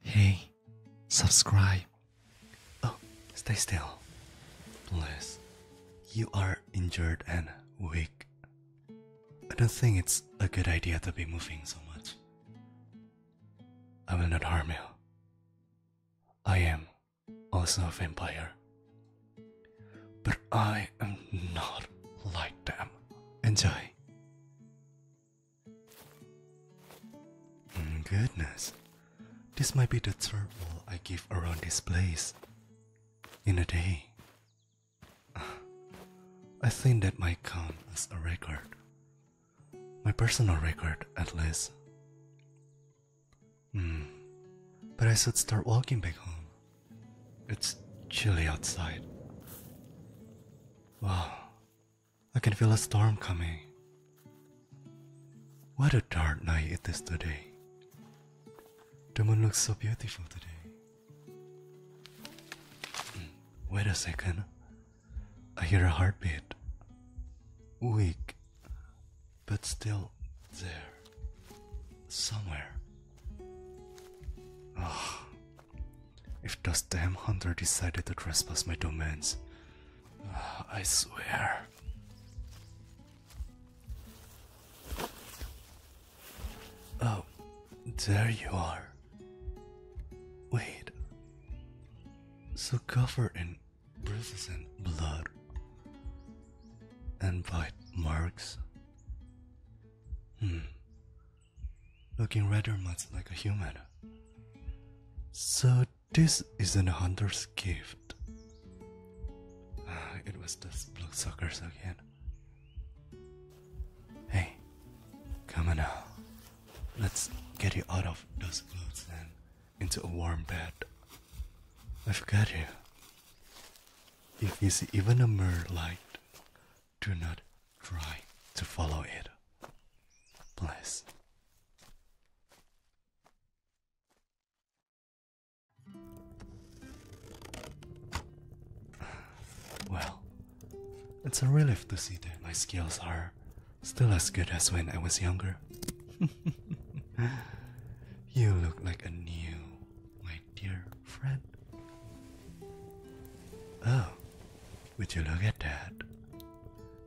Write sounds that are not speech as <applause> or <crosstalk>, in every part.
Hey, subscribe. Oh, stay still. Please. You are injured and weak. I don't think it's a good idea to be moving so much. I will not harm you. I am also a vampire. But I am not like them. and I. Mm, goodness, this might be the third wall I give around this place in a day. <sighs> I think that might count as a record. My personal record, at least. Hmm. But I should start walking back home. It's chilly outside. Wow, I can feel a storm coming. What a dark night it is today. The moon looks so beautiful today. Hmm, wait a second. I hear a heartbeat. Weak, but still there. Somewhere. Oh, if those damn hunter decided to trespass my domains, I swear. Oh, there you are. Wait. So covered in bruises and blood, and bite marks. Hmm looking rather much like a human. So this isn't a hunter's gift. Ah, it was those blood suckers again. Hey, come on now. Let's get you out of those clothes and into a warm bed. I've got you. If you even a mere light, do not try to follow it. Please. Well, it's a relief to see that my skills are still as good as when I was younger. <laughs> you look like a new, my dear friend. Oh, would you look at that?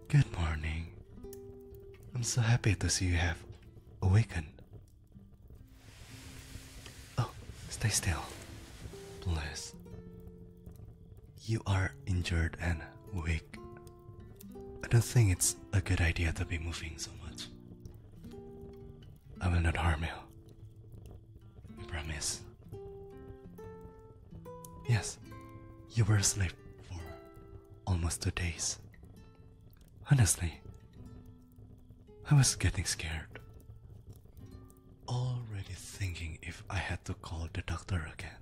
Good morning. I'm so happy to see you have awakened. Oh, stay still. Please. You are injured and weak. I don't think it's a good idea to be moving so much. I will not harm you. I promise. Yes, you were asleep for almost two days. Honestly, I was getting scared. Already thinking if I had to call the doctor again.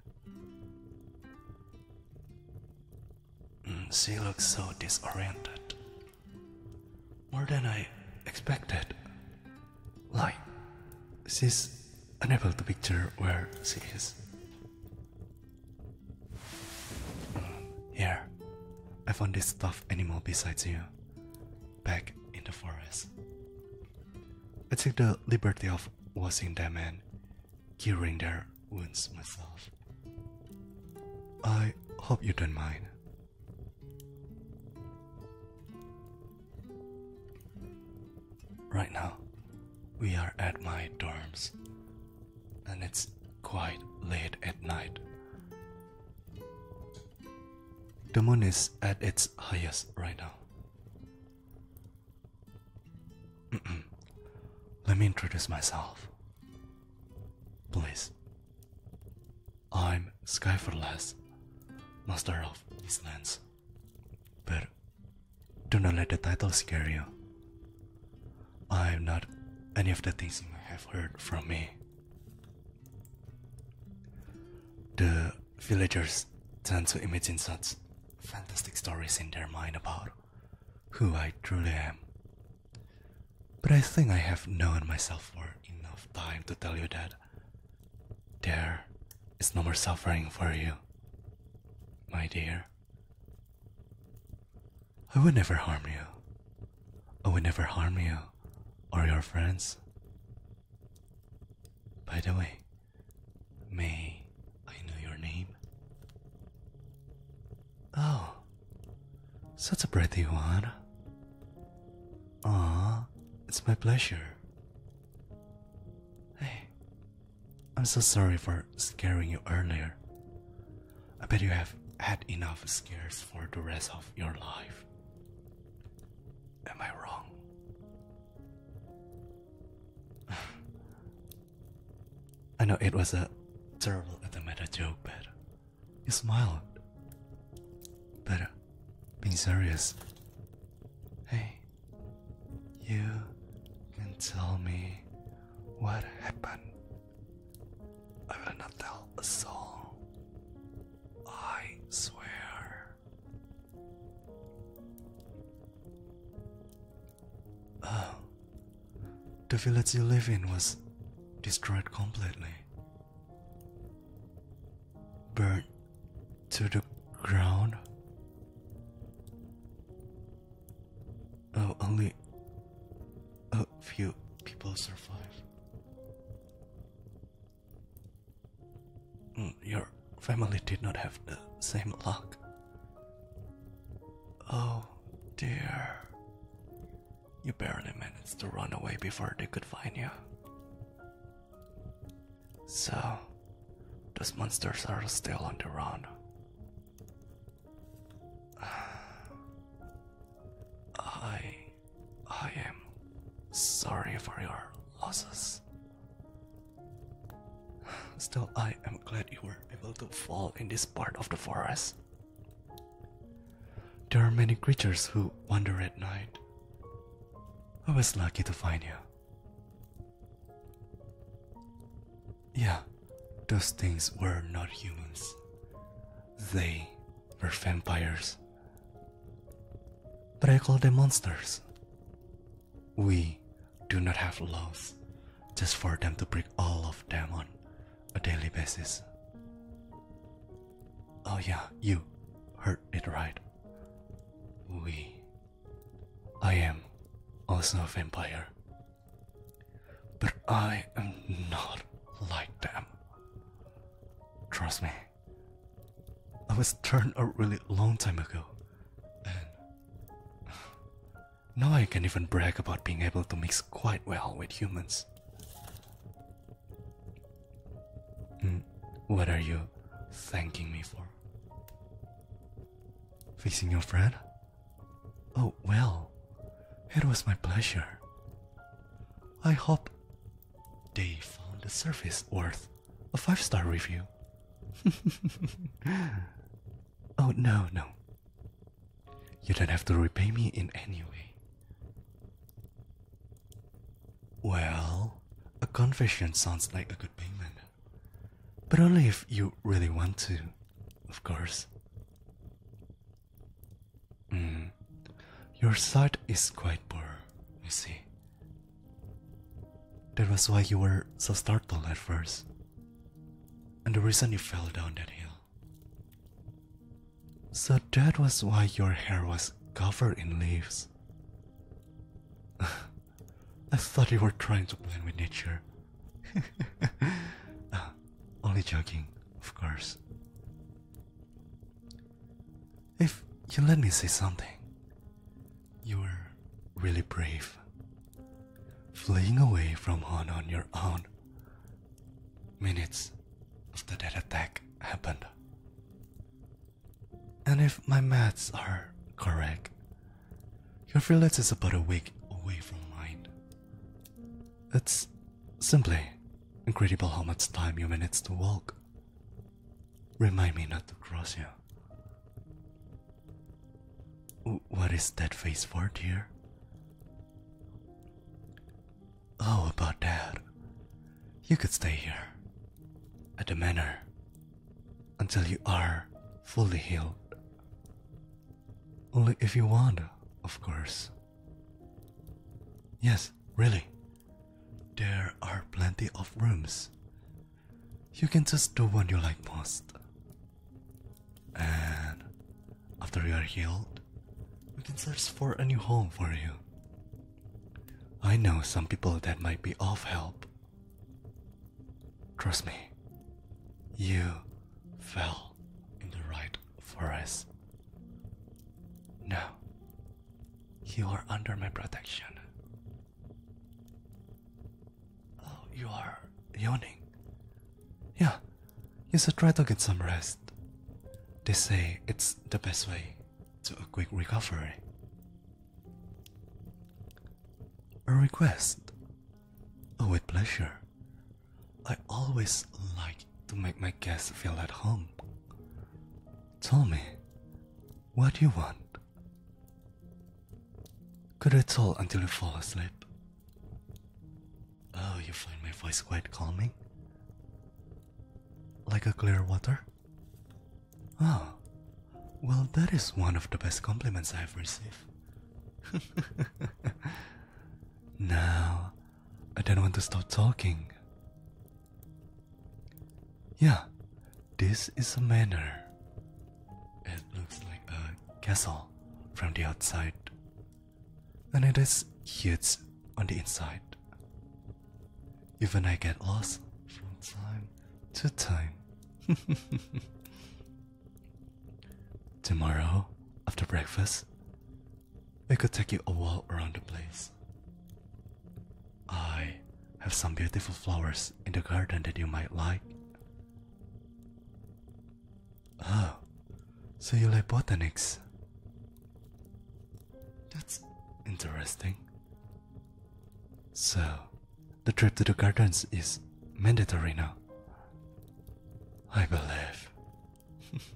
Mm, she looks so disoriented. More than I expected. Like, she's unable to picture where she is. Here, I found this tough animal besides you, back in the forest. I took the liberty of washing them man, curing their wounds myself. I hope you don't mind. Right now, we are at my dorms, and it's quite late at night. The moon is at its highest right now. Let me introduce myself. Please. I'm Skyforlas, master of these lands. But do not let the title scare you. I'm not any of the things you have heard from me. The villagers tend to imagine such fantastic stories in their mind about who I truly am but I think I have known myself for enough time to tell you that there is no more suffering for you, my dear. I would never harm you. I would never harm you or your friends. By the way, may I know your name? Oh, such a pretty one. Aw, it's my pleasure. Hey, I'm so sorry for scaring you earlier. I bet you have had enough scares for the rest of your life. Am I wrong? <sighs> I know it was a terrible at the meta joke, but you smiled. Better. Being serious. Hey, you can tell me what happened. I will not tell a soul. I swear. Oh, the village you live in was destroyed completely, burned to the ground. only a few people survived. Mm, your family did not have the same luck. Oh dear. You barely managed to run away before they could find you. So, those monsters are still on the run. I. I am sorry for your losses. Still, I am glad you were able to fall in this part of the forest. There are many creatures who wander at night. I was lucky to find you. Yeah, those things were not humans, they were vampires. But I call them monsters. We do not have laws just for them to break all of them on a daily basis. Oh, yeah, you heard it right. We. I am also a vampire. But I am not like them. Trust me. I was turned a really long time ago, and now I can even brag about being able to mix quite well with humans. Hmm, what are you thanking me for? Fixing your friend? Oh, well, it was my pleasure. I hope they found the service worth a five star review. <laughs> Oh, no, no. You don't have to repay me in any way. Well, a confession sounds like a good payment. But only if you really want to, of course. Hmm. Your sight is quite poor, I see. That was why you were so startled at first and the reason you fell down that hill. So that was why your hair was covered in leaves. <laughs> I thought you were trying to blend with nature. <laughs> Uh, only joking, of course. If you let me say something, you were really brave, fleeing away from Han on your own. Minutes after that attack happened. And if my maths are correct, your village is about a week away from mine. It's simply incredible how much time you managed to walk. Remind me not to cross you. What is that face for, dear? Oh, about that. You could stay here at the manor until you are fully healed. Only if you want, of course. Yes, really. There are plenty of rooms you can just do what you like most. And after you are healed, we can search for a new home for you. I know some people that might be of help. Trust me, you fell in the right forest. Now, you are under my protection. Oh, you are yawning. Yeah, you should try to get some rest. They say it's the best way to a quick recovery. A request? Oh, with pleasure. I always like to make my guests feel at home. Tell me, what do you want? Could it all until you fall asleep? Oh, you find my voice quite calming? Like a clear water? Oh, well, that is one of the best compliments I've received. <laughs> now, I don't want to stop talking. Yeah, this is a manor. It looks like a castle from the outside, and it is huge on the inside. Even I get lost from time to time. <laughs> Tomorrow, after breakfast, I could take you a walk around the place. I have some beautiful flowers in the garden that you might like. Oh, so you like botanics? That's interesting. So, the trip to the gardens is mandatory now. I believe. <laughs>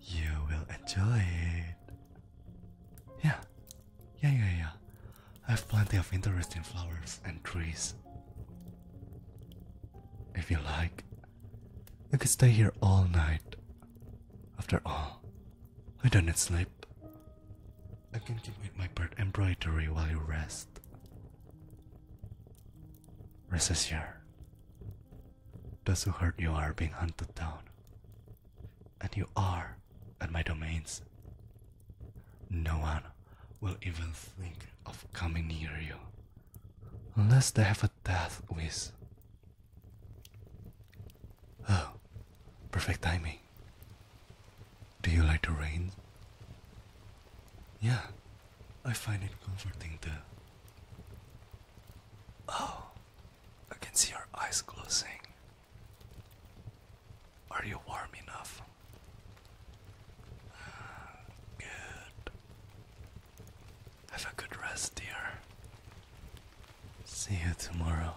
you will enjoy it. Yeah, yeah, yeah, yeah. I have plenty of interesting flowers and trees. If you like, you could stay here all night. After all, I don't need sleep. I can complete my bird embroidery while you rest. Rest assured, Does who hurt you are being hunted down and you are at my domains. No one will even think of coming near you unless they have a death wish. Oh, perfect timing. Do you like the rain? Yeah, I find it comforting too. Oh, I can see your eyes closing. Are you warm enough? Ah, good. Have a good rest, dear. See you tomorrow.